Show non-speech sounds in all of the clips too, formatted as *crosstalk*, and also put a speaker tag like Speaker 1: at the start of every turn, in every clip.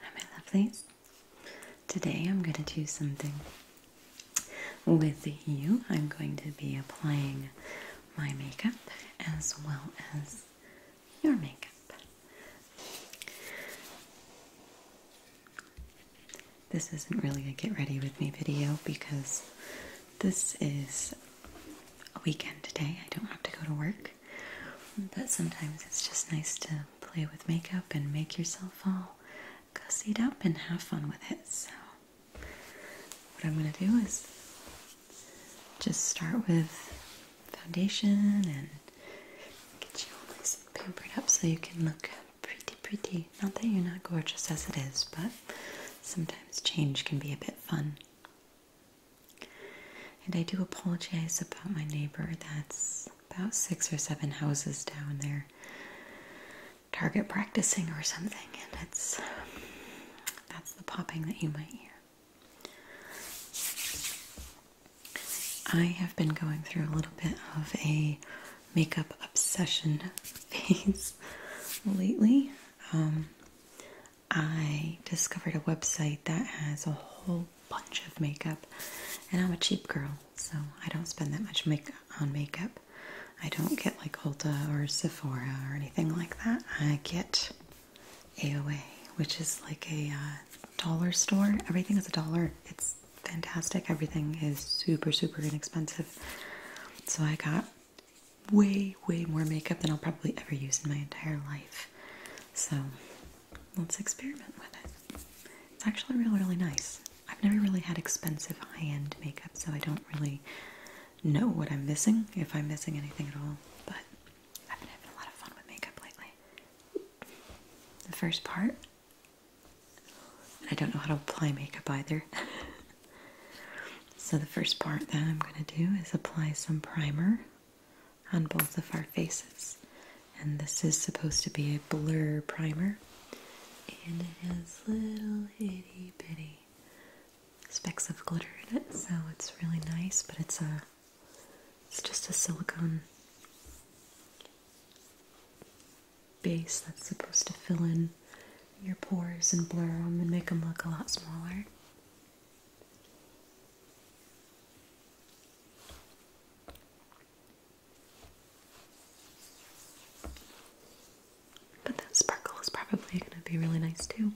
Speaker 1: Hi my lovelies. Today I'm going to do something with you. I'm going to be applying my makeup as well as your makeup. This isn't really a get ready with me video because this is a weekend today. I don't have to go to work. But sometimes it's just nice to play with makeup and make yourself all gussied up and have fun with it. So, what I'm going to do is just start with foundation and get you all nice and pampered up so you can look pretty, pretty. Not that you're not gorgeous as it is, but sometimes change can be a bit fun. And I do apologize about my neighbor that's about six or seven houses down there, target practicing or something, and it's that's the popping that you might hear. I have been going through a little bit of a makeup obsession *laughs* phase lately. Um, I discovered a website that has a whole bunch of makeup, and I'm a cheap girl, so I don't spend that much make on makeup. I don't get like Ulta or Sephora or anything like that. I get AOA, which is like a uh, dollar store. Everything is a dollar. It's fantastic. Everything is super, super inexpensive. So I got way, way more makeup than I'll probably ever use in my entire life. So let's experiment with it. It's actually really, really nice. I've never really had expensive high end makeup, so I don't really know what I'm missing, if I'm missing anything at all. But I've been having a lot of fun with makeup lately. The first part, I don't know how to apply makeup either. *laughs* so, the first part that I'm going to do is apply some primer on both of our faces. And this is supposed to be a blur primer. And it has little itty bitty specks of glitter in it, so it's really nice, but it's a it's just a silicone base that's supposed to fill in your pores and blur them and make them look a lot smaller. But that sparkle is probably going to be really nice too.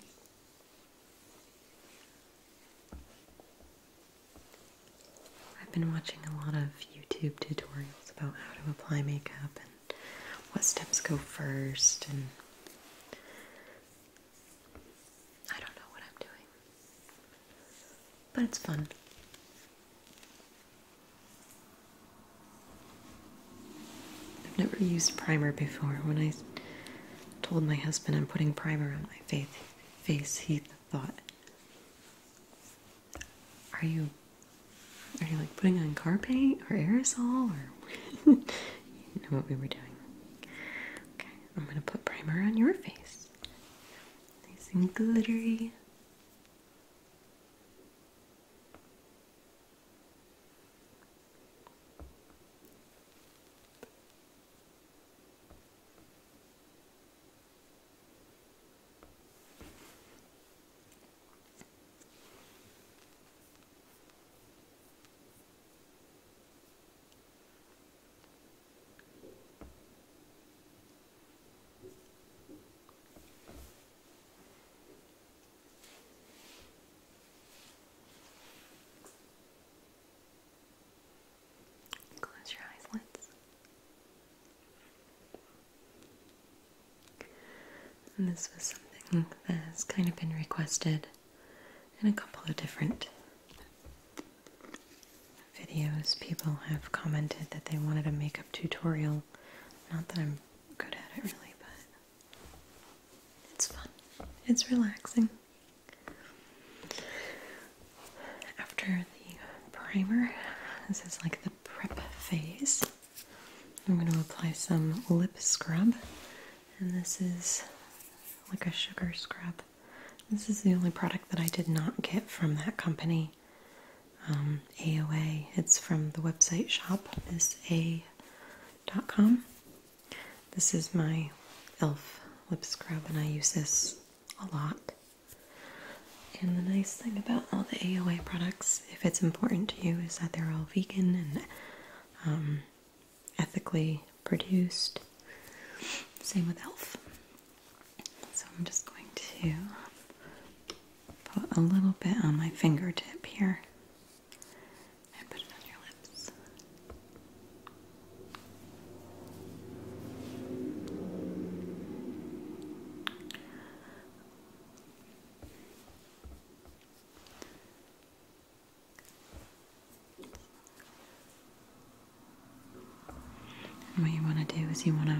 Speaker 1: I've been watching a lot of YouTube tutorials about how to apply makeup and what steps go first and I don't know what I'm doing, but it's fun. I've never used primer before. When I told my husband I'm putting primer on my face, face he thought, "Are you, are you like putting on car paint or aerosol or?" *laughs* you know what we were doing. Okay, I'm going to put primer on your face. Nice and glittery. Close your eyes, let this was something that has kind of been requested in a couple of different videos, people have commented that they wanted a makeup tutorial. Not that I'm good at it really, but it's fun. It's relaxing. After the primer, this is like the prep phase. I'm going to apply some lip scrub, and this is like a sugar scrub. This is the only product that I did not get from that company. AOA. Um, it's from the website shopsa.com. This is my e.l.f. lip scrub, and I use this a lot. And the nice thing about all the AOA products, if it's important to you, is that they're all vegan and um, ethically produced. Same with Elf. So I'm just going to put a little bit on my fingertip here and put it on your lips what you want to do is you want to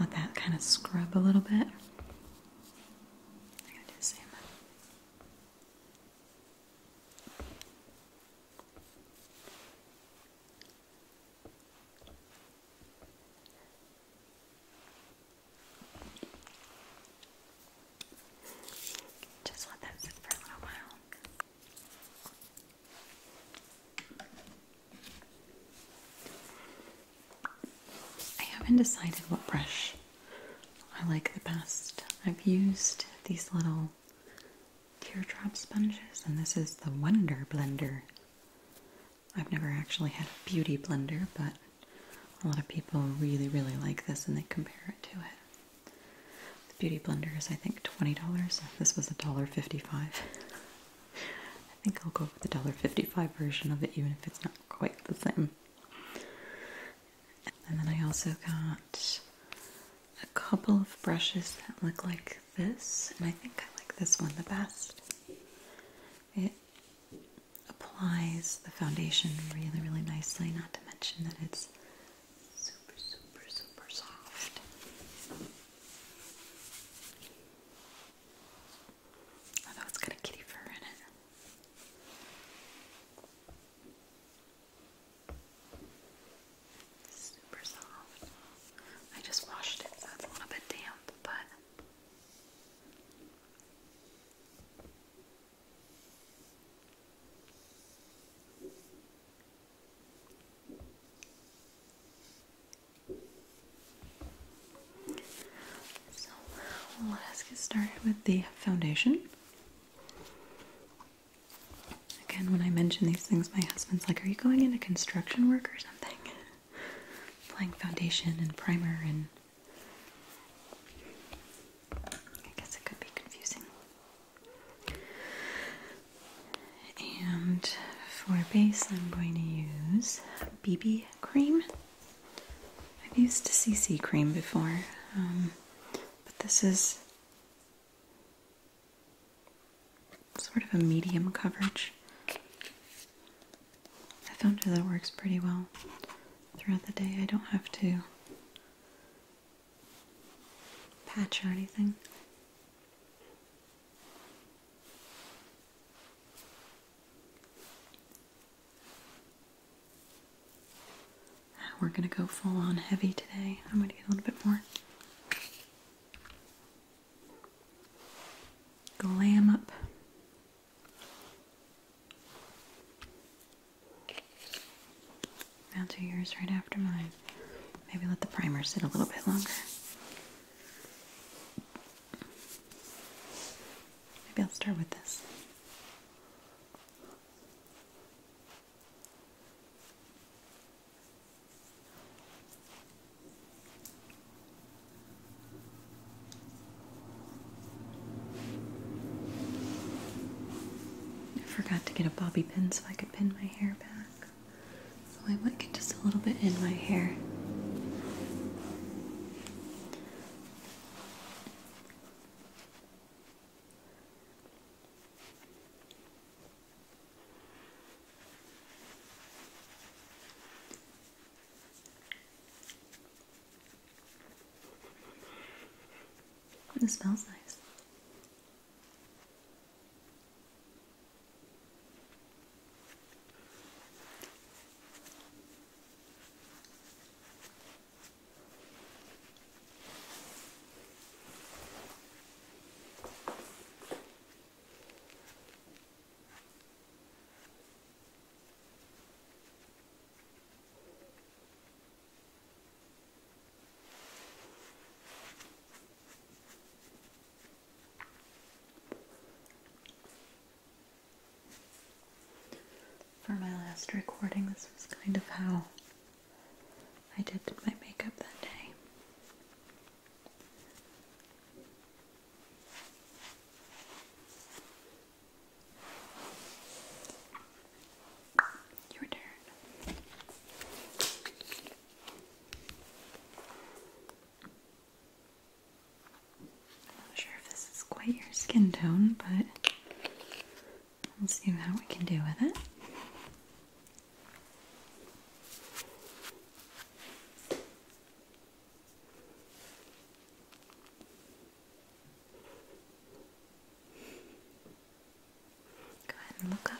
Speaker 1: let that kind of scrub a little bit. Just let that sit for a little while. I haven't decided what brush I like the best. I've used these little teardrop sponges, and this is the Wonder Blender. I've never actually had a beauty blender, but a lot of people really, really like this and they compare it to it. The Beauty Blender is, I think, $20. This was $1.55. I think I'll go with the $1.55 version of it, even if it's not quite the same. And then I also got a couple of brushes that look like this, and I think I like this one the best. It applies the foundation really, really nicely, not to mention that it's super, super, super soft. Although it's got a kitty fur in it. Super soft. I just washed it, so it's a little bit damp, but so let us get started with the foundation. Again, when I mention these things, my husband's like, Are you going into construction work or something? Applying *laughs* foundation and primer, and I guess it could be confusing. And for base, I'm going to use BB cream. I've used a CC cream before, um, but this is sort of a medium coverage. I found that it works pretty well throughout the day. I don't have to patch or anything. Ah, we're gonna go full on heavy today. I'm gonna get a little bit more. Glam up. Now do yours right after mine. Maybe let the primer sit a little bit longer. Maybe I'll start with this. I forgot to get a bobby pin so I could pin my hair back. So I might get just a little bit in my hair. It smells nice. For my last recording, this was kind of how I did my makeup that day. Your turn. not sure if this is quite your skin tone, but we'll see how we can do with it. Go ahead and look up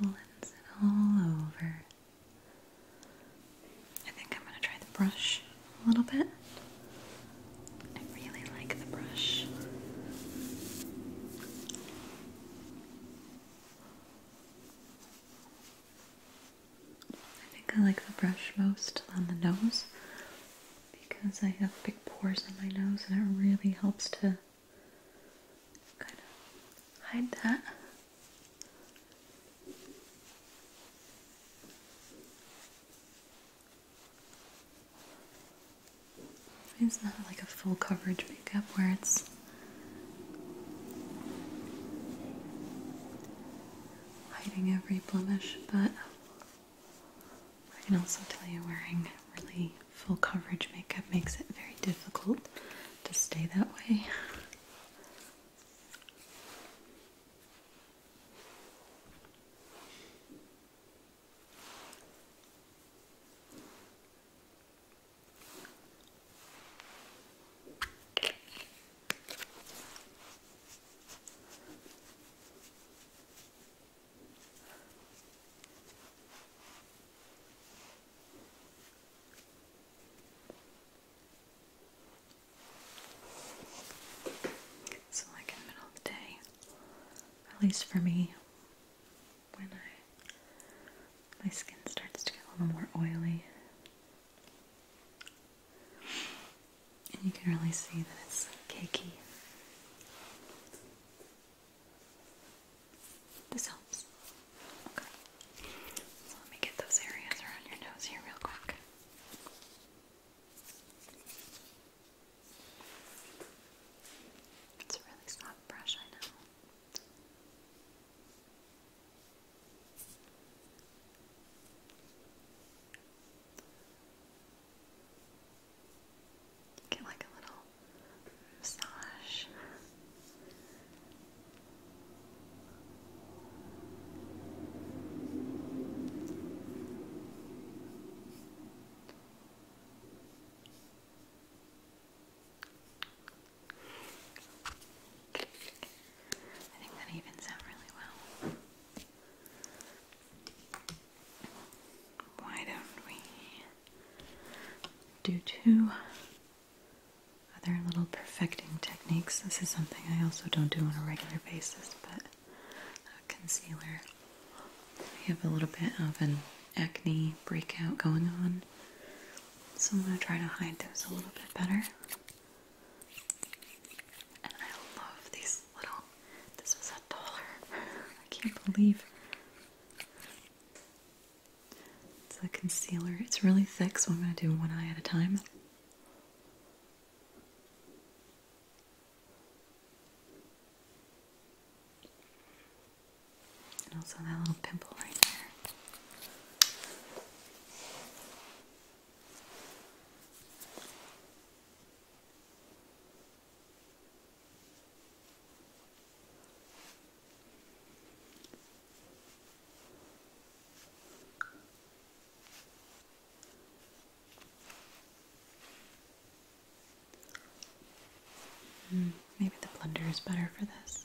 Speaker 1: blends it all over. I think I'm gonna try the brush a little bit. I really like the brush. I think I like the brush most on the nose because I have big pores on my nose and it really helps to kind of hide that. It's not like a full coverage makeup where it's hiding every blemish, but I can also tell you wearing really full coverage makeup makes it very difficult to stay that way. It's like in middle of the day, at least for me, when I my skin starts to get a little more oily. And you can really see that it's cakey. This helps. Okay. let me get those areas around your nose here real quick. It's a really soft brush, I know. Get like a little massage. I think that evens out really well. Why don't we do two other little perfecting techniques? This is something I also don't do on a regular basis, but concealer. I have a little bit of an acne breakout going on, so I'm going to try to hide those a little bit better. And I love these little, this was a dollar. *laughs* I can't believe. It's a concealer. It's really thick, so I'm going to do one eye at a time. And also that little pimple right there. Hmm, maybe the blender is better for this.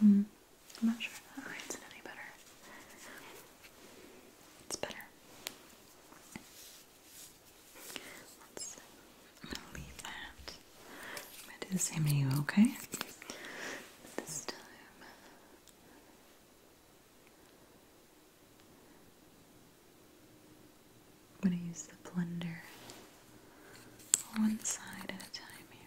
Speaker 1: Hmm. I'm not sure if that writes it any better. It's better. I'm gonna leave that. I'm gonna do the same to you, okay? This time. I'm gonna use the blender one side at a time here.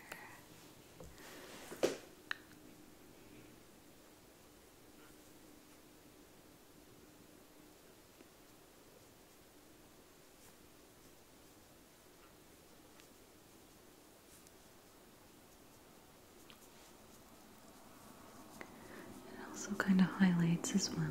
Speaker 1: It also kind of highlights as well.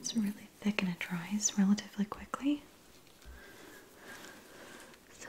Speaker 1: It's really thick and it dries relatively quickly. So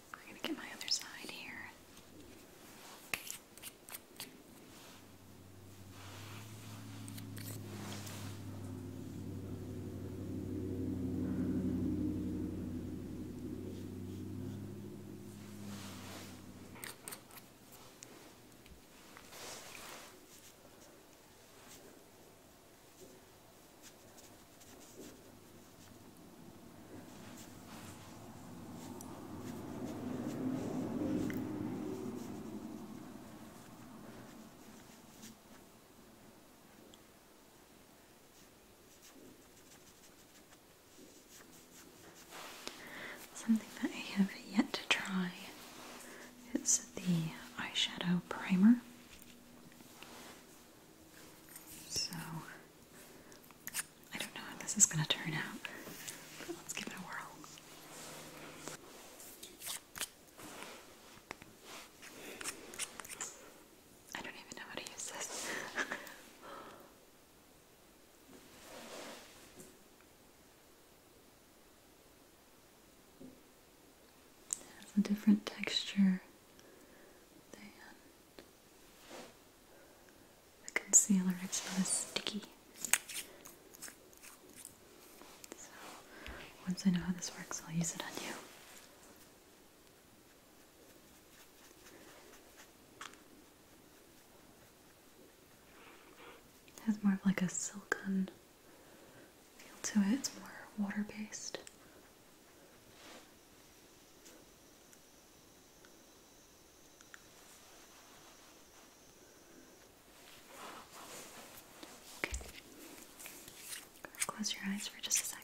Speaker 1: I'm going to get my other side here. Something that I have yet to try is the eyeshadow primer. So I don't know how this is going to turn out, let's give it a whirl. I don't even know how to use this. *laughs* it has a different texture than the concealer, it's not as sticky. So, once I know how this works, I'll use it on you. It has more of like a silken feel to it, it's more water based. Close your eyes for just a second.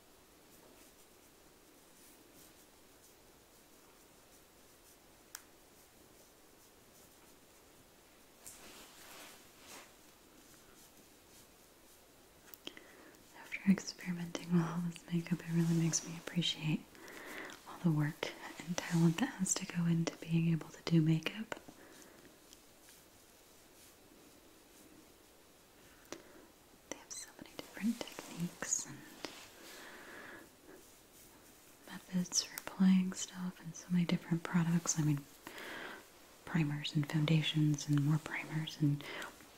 Speaker 1: After experimenting with all this makeup, it really makes me appreciate all the work and talent that has to go into being able to do makeup. They have so many different techniques and methods for applying stuff, and so many different products. I mean, primers and foundations, and more primers, and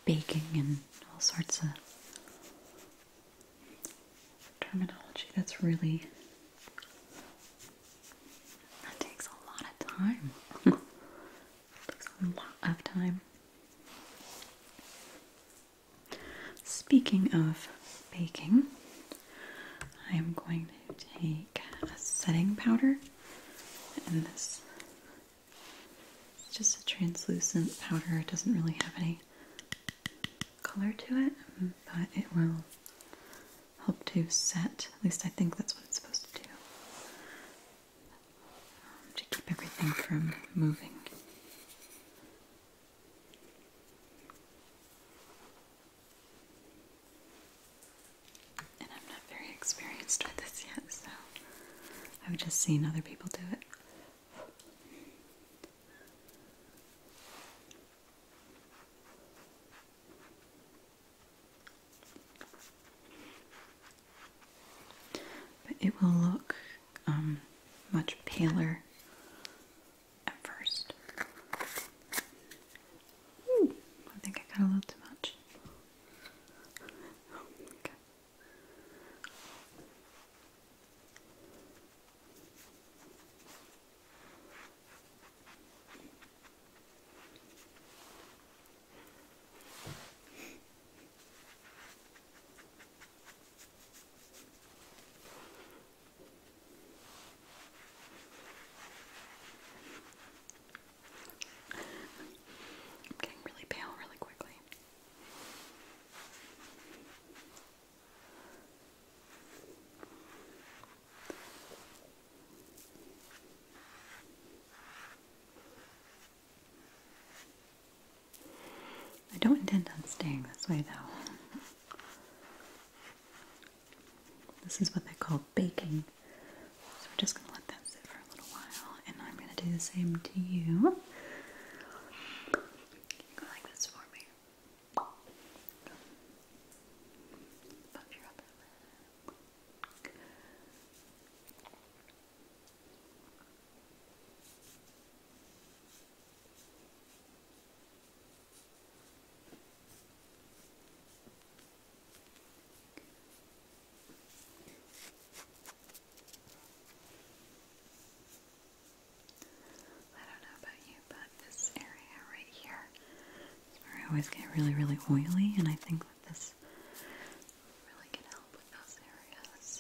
Speaker 1: baking, and all sorts of terminology that's really. That takes a lot of time. *laughs* a lot of time. Speaking of baking, I am going to take a setting powder, and this is just a translucent powder. It doesn't really have any color to it, but it will help to set. At least I think that's what it's supposed to do to keep everything from moving. And I'm not very experienced with this yet, so I've just seen other people do it. But it will look um, much paler at first. I think I got a little too much. I'm getting really pale really quickly. I don't intend on staying this way though. This is what they call baking. So we're just going to let that sit for a little while and I'm going to do the same to you. go like this for me. I don't know about you, but this area right here is where I always get really, really oily, and I think this really can help with those areas.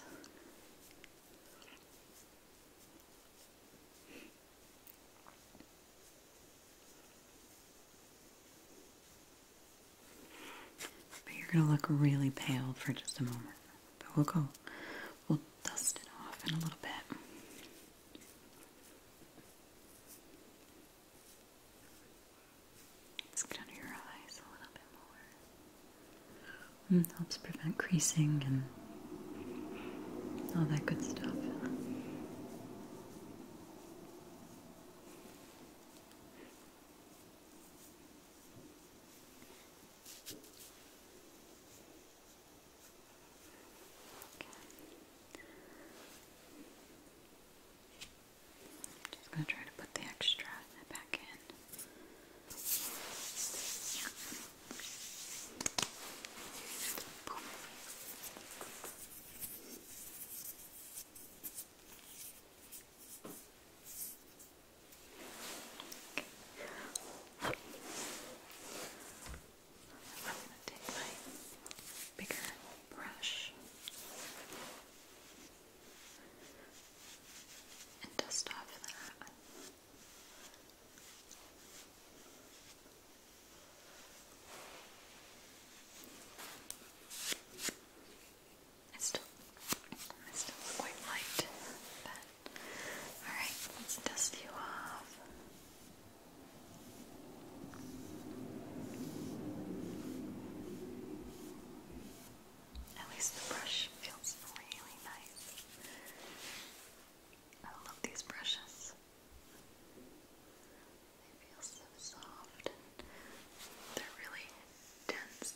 Speaker 1: But you're going to look really pale for just a moment. But we'll go, we'll dust it off in a little bit. Let's get under your eyes a little bit more. Hmm, helps prevent creasing and all that good stuff. Just gonna try to put the extra back in. I'm gonna take my bigger brush and dust off that. It's still, it's still quite light, but alright, let's dust you off. At least the brush feels really nice. I love these brushes. They feel so soft they're really dense.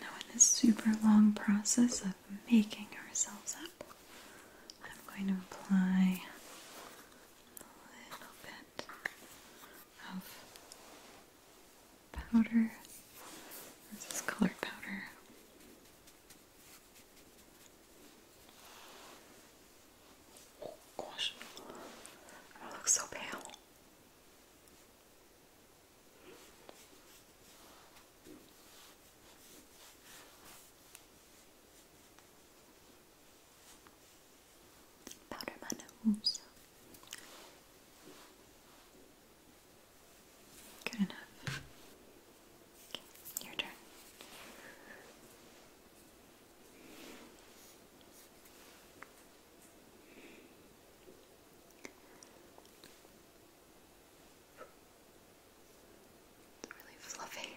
Speaker 1: Now, in this super long process of making ourselves up, I'm going to apply a little bit of powder. This is colored powder. Oh gosh, oh, I look so pale. Powder my nose. Good enough. your turn. It's really fluffy.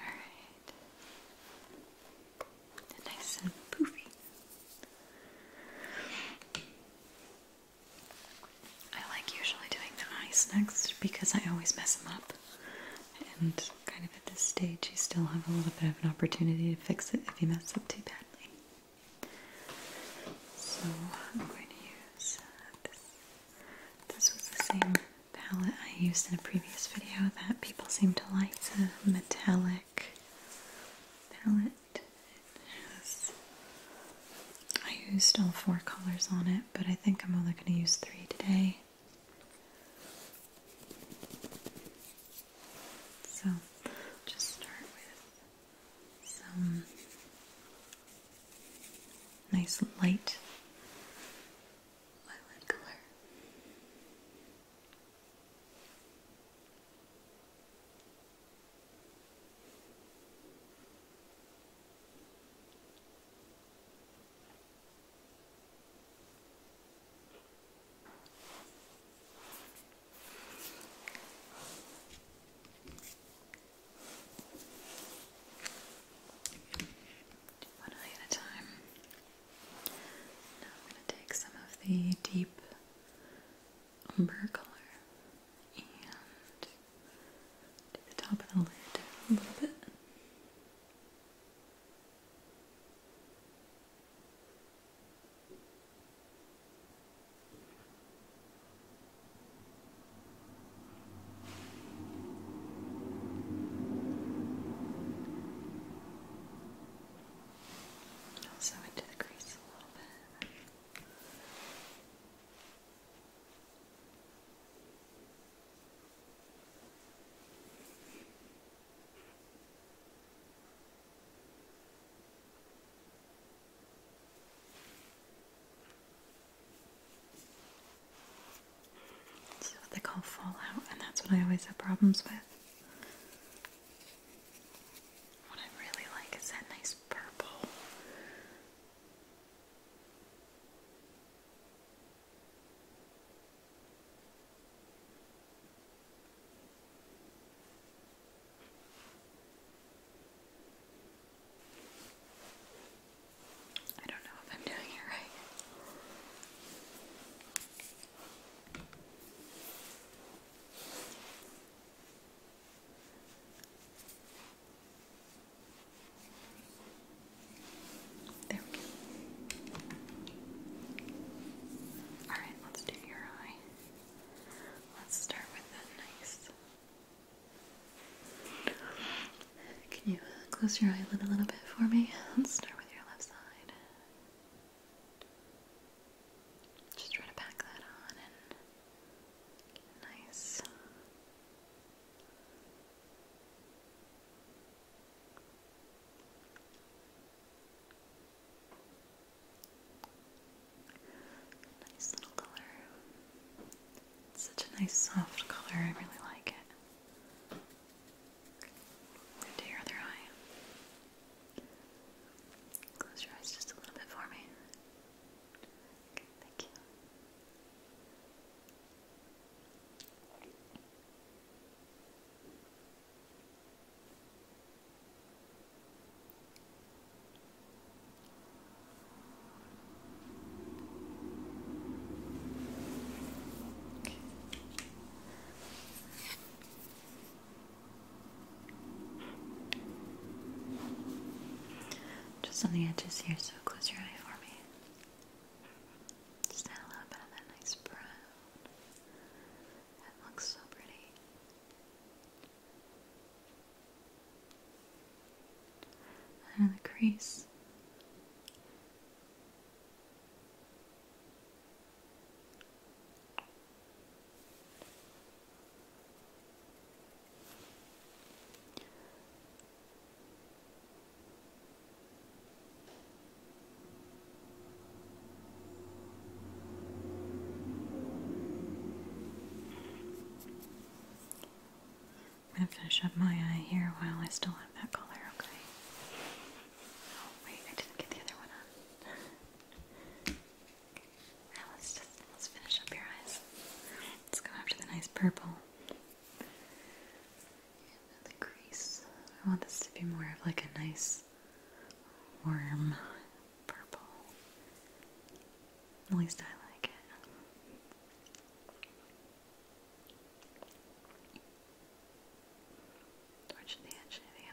Speaker 1: Alright. Nice and poofy. I like usually doing the eyes next because I always mess them up. And kind of at this stage, you still have a little bit of an opportunity to fix it if you mess up too badly. So I'm going to use uh, this. This was the same palette I used in a previous video that people seem to like. It's a metallic palette. I used all four colors on it, but I think I'm only going to use three today. So just start with some nice light lilac color. One eye at a time. Now I'm going to take some of the deep umber color and do the top of the lid a little bit. Also into the crease a little bit. It's what they call fallout, and that's what I always have problems with. What I really like is that nice purple. I don't know if I'm doing it right. There we go. Alright, let's do your eye. Let's start with that nice. Can you uh, close your eyelid a little bit for me? Let's start with your left side. Just try to pack that on and nice such a nice soft color, I really like it. Do your other eye. Close your eyes just a little bit for me. Okay, thank you. Just on the edges here, so close your eye for me. Just add a little bit of that nice brown. That looks so pretty. Another crease. I'm going to finish up my eye here while I still have that color, okay? Oh, wait, I didn't get the other one on. Now let's just let's finish up your eyes. Let's go after the nice purple the crease. I want this to be more of like a nice warm purple. At least I like it. Torch the edge of the eye.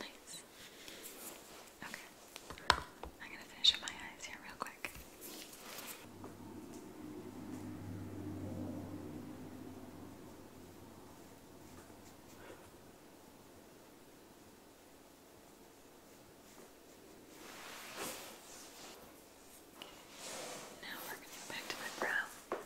Speaker 1: Nice. Okay. I'm going to finish up my eyes here real quick. Now we're going to get back to my brow. Okay,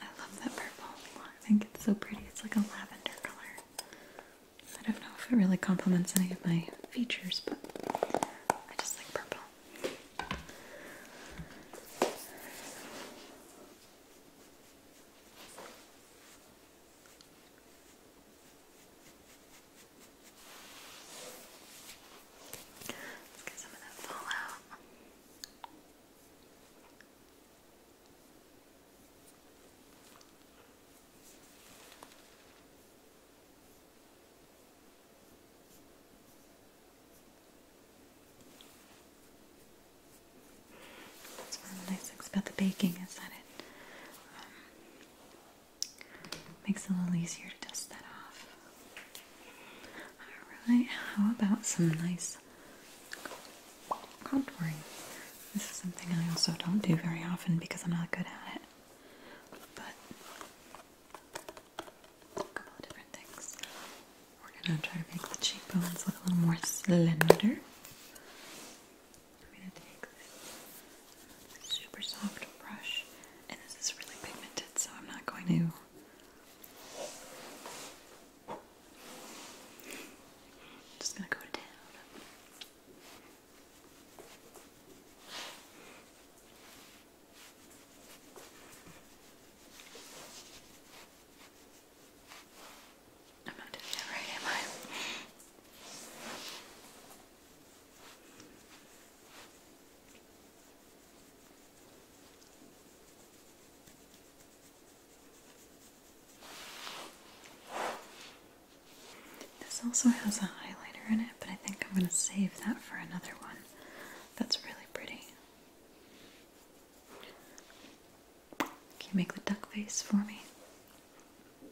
Speaker 1: I love that purple. I think it's so pretty. It's like a lavender color. I don't know if it really complements any of my features, but I just like purple. Let's get some of that fallout. That's one of the nice things about the baking is that it um, makes it a little easier to dust that off. Alright, how about some nice contouring. This is something I also don't do very often because I'm not good at it. But a couple of different things. We're gonna try to make the cheekbones look a little more slender. I'm gonna take this super soft brush, and this is really pigmented, so I'm not going to just gonna go down. I'm not doing that right, am I? This also has a highlighter in it, but I think I'm going to save that for another one. That's really pretty. Can you make the duck face for me?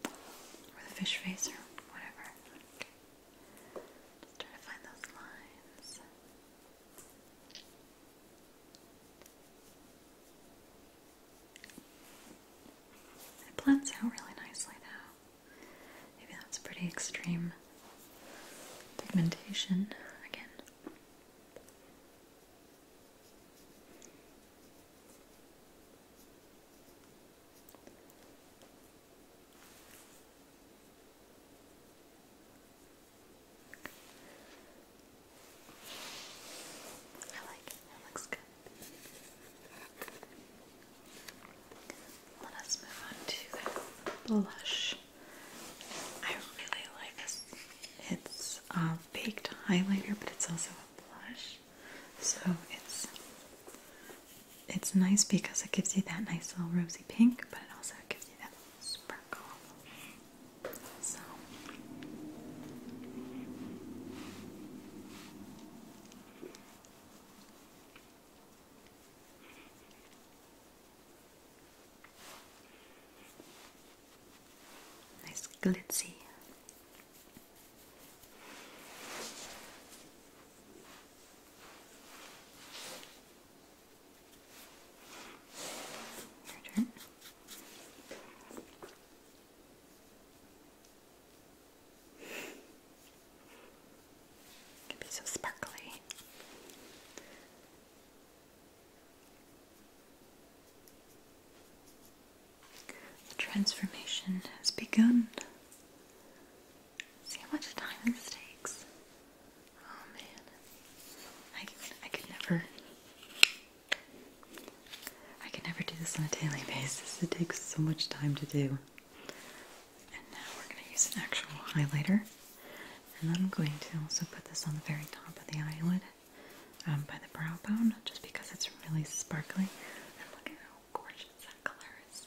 Speaker 1: Or the fish face, or whatever. Okay. Just try to find those lines. It blends out really nicely now. Maybe that's pretty extreme pigmentation again. I like it, it looks good. Let us move on to blush. I really like this. It's a um, baked highlighter, but it's also a blush. So it's it's nice because it gives you that nice little rosy pink, but it also gives you that sparkle. So nice glitzy. Your turn can be so sparkly. The transformation has begun. See how much time this takes. Oh man, I I could never I can never do this on a daily basis. It takes so much time to do. And now we're going to use an actual highlighter. And I'm going to also put this on the very top of the eyelid um, by the brow bone just because it's really sparkly. And look at how gorgeous that color is.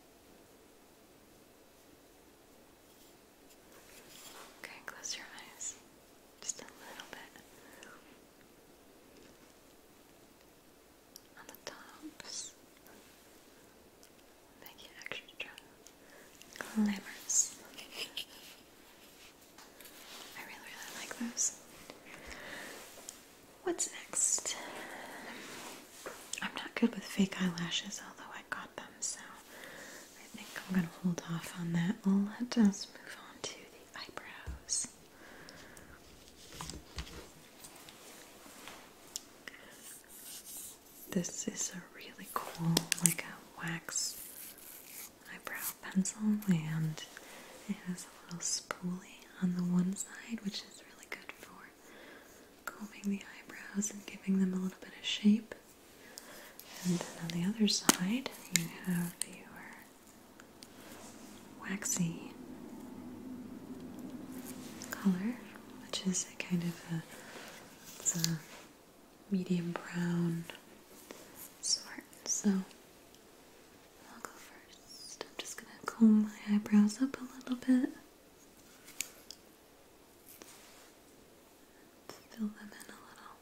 Speaker 1: Okay, close your eyes. Just a little bit. On the tops. Make it extra glamorous. I really, really like those. What's next? I'm not good with fake eyelashes, although I got them, so I think I'm gonna hold off on that. Let us move on to the eyebrows. This is a really cool, like a wax eyebrow pencil, and it has a little spoolie on the one side, which is really good for combing the eyebrows and giving them a little bit of shape. And then on the other side, you have your waxy color, which is a kind of a, medium brown sort. So I'll go first. I'm just going to comb my eyebrows up a little bit fill them in a little.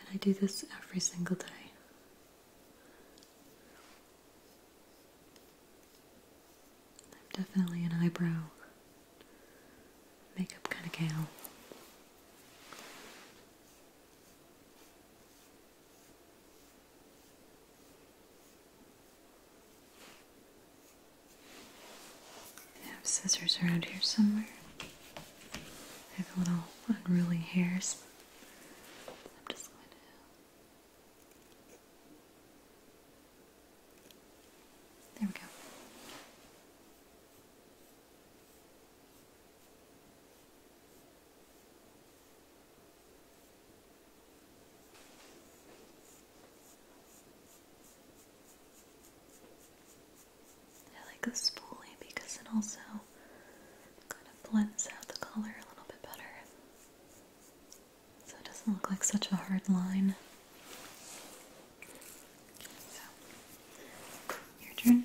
Speaker 1: And I do this every single day. I'm definitely an eyebrow makeup kind of gal. I have scissors around here somewhere. I have a little unruly hairs. There we go. I like this spoolie because it also kind of blends out the color a little bit better. So it doesn't look like such a hard line. your turn.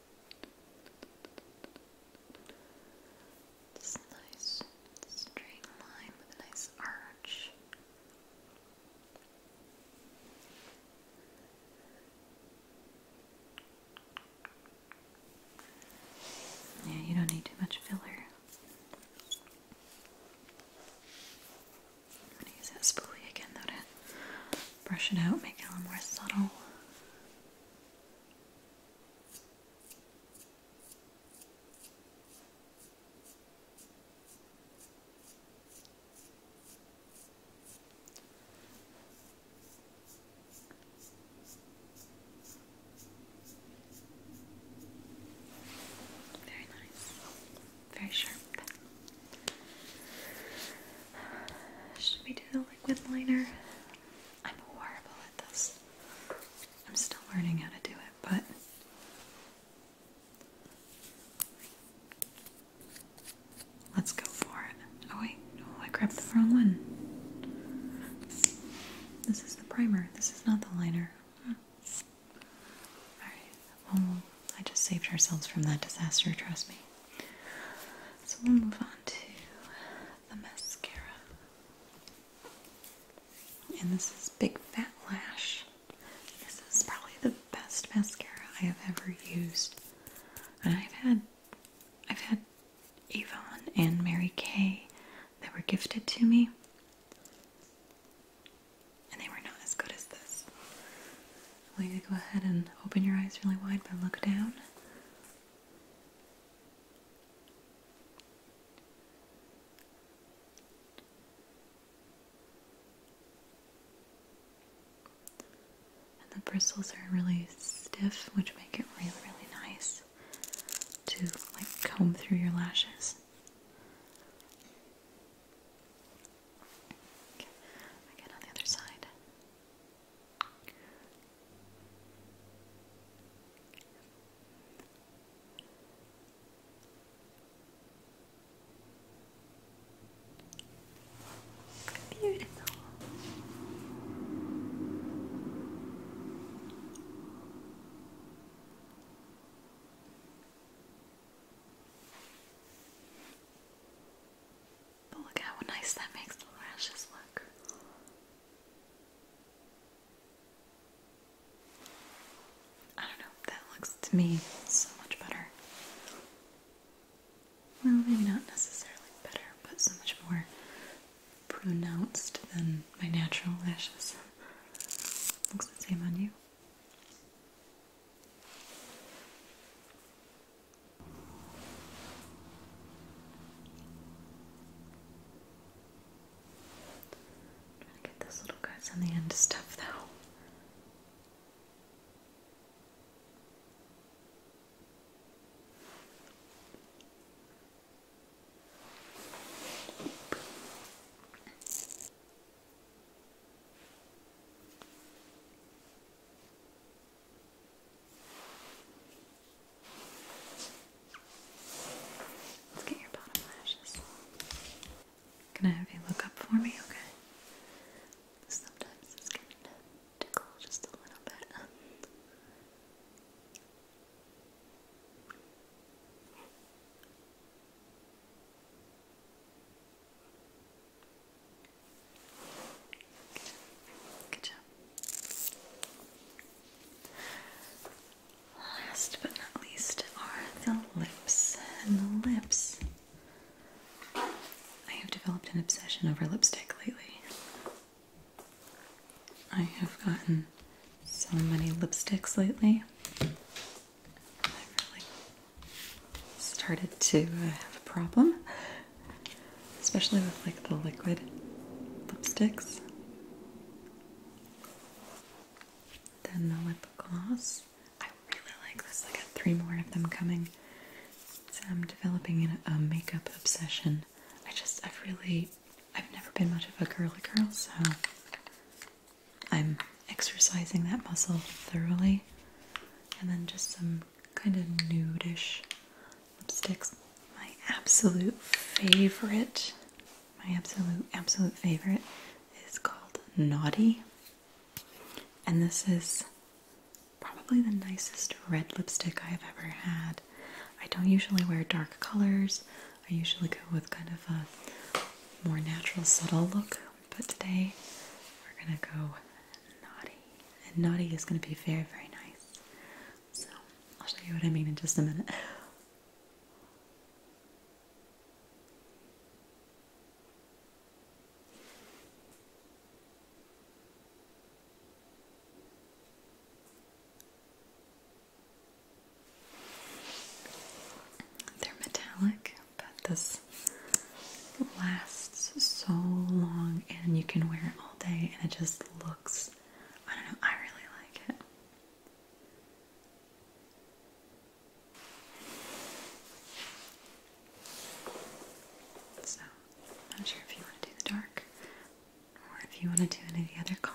Speaker 1: It's nice straight line with a nice arch. Yeah, you don't need too much filler. use that spoolie again though to brush it out, make it a little more subtle. Very nice, very sharp. Should we do the liquid liner? I'm horrible at this. I'm still learning how to do it, but let's go for it. Oh, wait, no, I grabbed the wrong one. This is the primer, this is not the liner. Hmm. Alright, well, I just saved ourselves from that disaster, trust me. So we'll move on to the mascara. And this is Big Fat Lash. This is probably the best mascara I have ever used. And I've had I've had Avon and Mary Kay that were gifted to me. And they were not as good as this. I want you to go ahead and open your eyes really wide, but look down. the bristles are really stiff, which make it really, really nice to like comb through your lashes. Okay. Again on the other side. Beautiful. But look how nice that makes the lashes look. I don't know, that looks to me so much better. Well, maybe not necessarily better, but so much more pronounced than my natural lashes. Looks the same on you. I'm trying to get those little guys on the end of stuff though. Let's get your bottom lashes. Can I have you look up for me, okay? Sometimes this can tickle just a little bit. Last but not least are the lips. And the lips. I have developed an obsession over lipstick lately. I have gotten so many lipsticks lately started to have a problem, especially with like the liquid lipsticks. Then the lip gloss. I really like this. I got three more of them coming. So I'm developing a makeup obsession. I just, I've really, I've never been much of a girly girl, so I'm exercising that muscle thoroughly. And then just some kind of nudish lipsticks. My absolute favorite, my absolute, absolute favorite is called Naughty. And this is probably the nicest red lipstick I've ever had. I don't usually wear dark colors. I usually go with kind of a more natural, subtle look. But today we're gonna go naughty and naughty is going to be very, very nice. So I'll show you what I mean in just a minute. *laughs* They're metallic but this lasts so long and you can wear it all day and it just looks I don't know, I really like it. So, I'm not sure if you want to do the dark or if you want to do any of the other colors.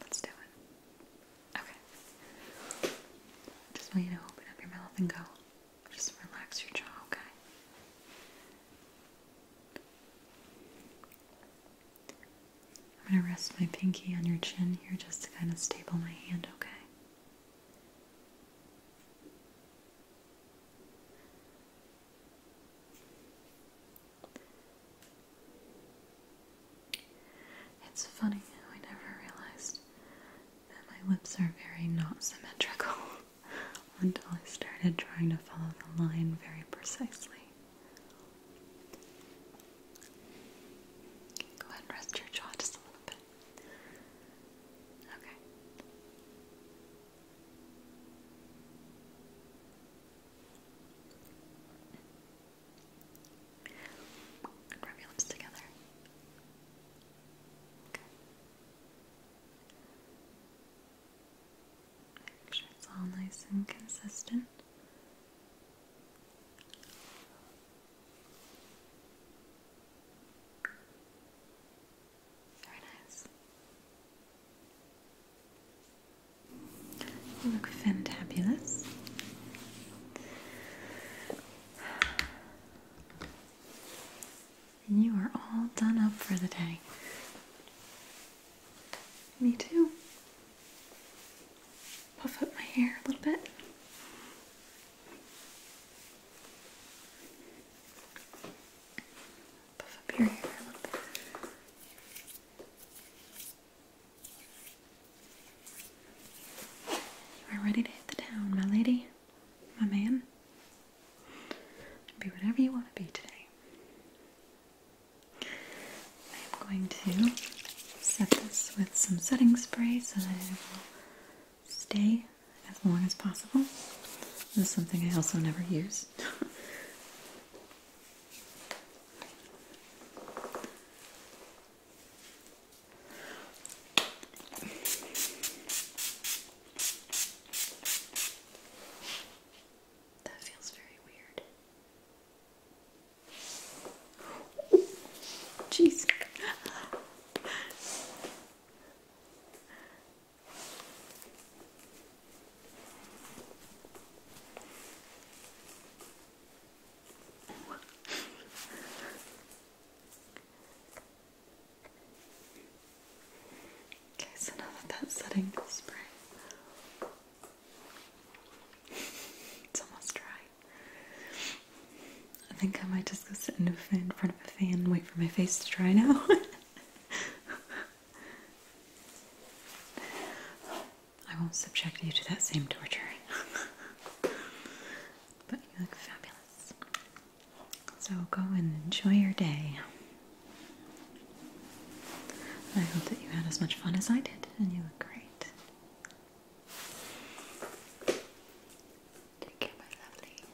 Speaker 1: Let's do it. Okay. Just want you to open up your mouth and go. Just relax your jaw, okay? I'm going to rest my pinky on your chin here just to kind of stable my hand, okay? It's funny I never realized that my lips are very not symmetrical *laughs* until I started trying to follow the line very precisely. go ahead rest your jaw just a little bit. Okay rub your lips together. Make sure it's all nice and consistent. Very nice. You look fantabulous. you are all done up for the day. Me too. Puff up my hair a little bit. Puff up your hair a little bit. You are ready to hit the town, my lady, my man. Be whatever you want to be today. I am going to set this with some setting spray so that it will stay as long as possible. This is something I also never use. *laughs* That feels very weird. Jeez. Okay, so now that that's setting the spray, it's almost dry. I think I might just go sit in, front of a fan and wait for my face to dry now. *laughs* *laughs* I won't subject you to that same torture. *laughs* but you look fabulous. So go and enjoy your day. I hope that you had as much fun as I did, and you look great. Take care, my lovely.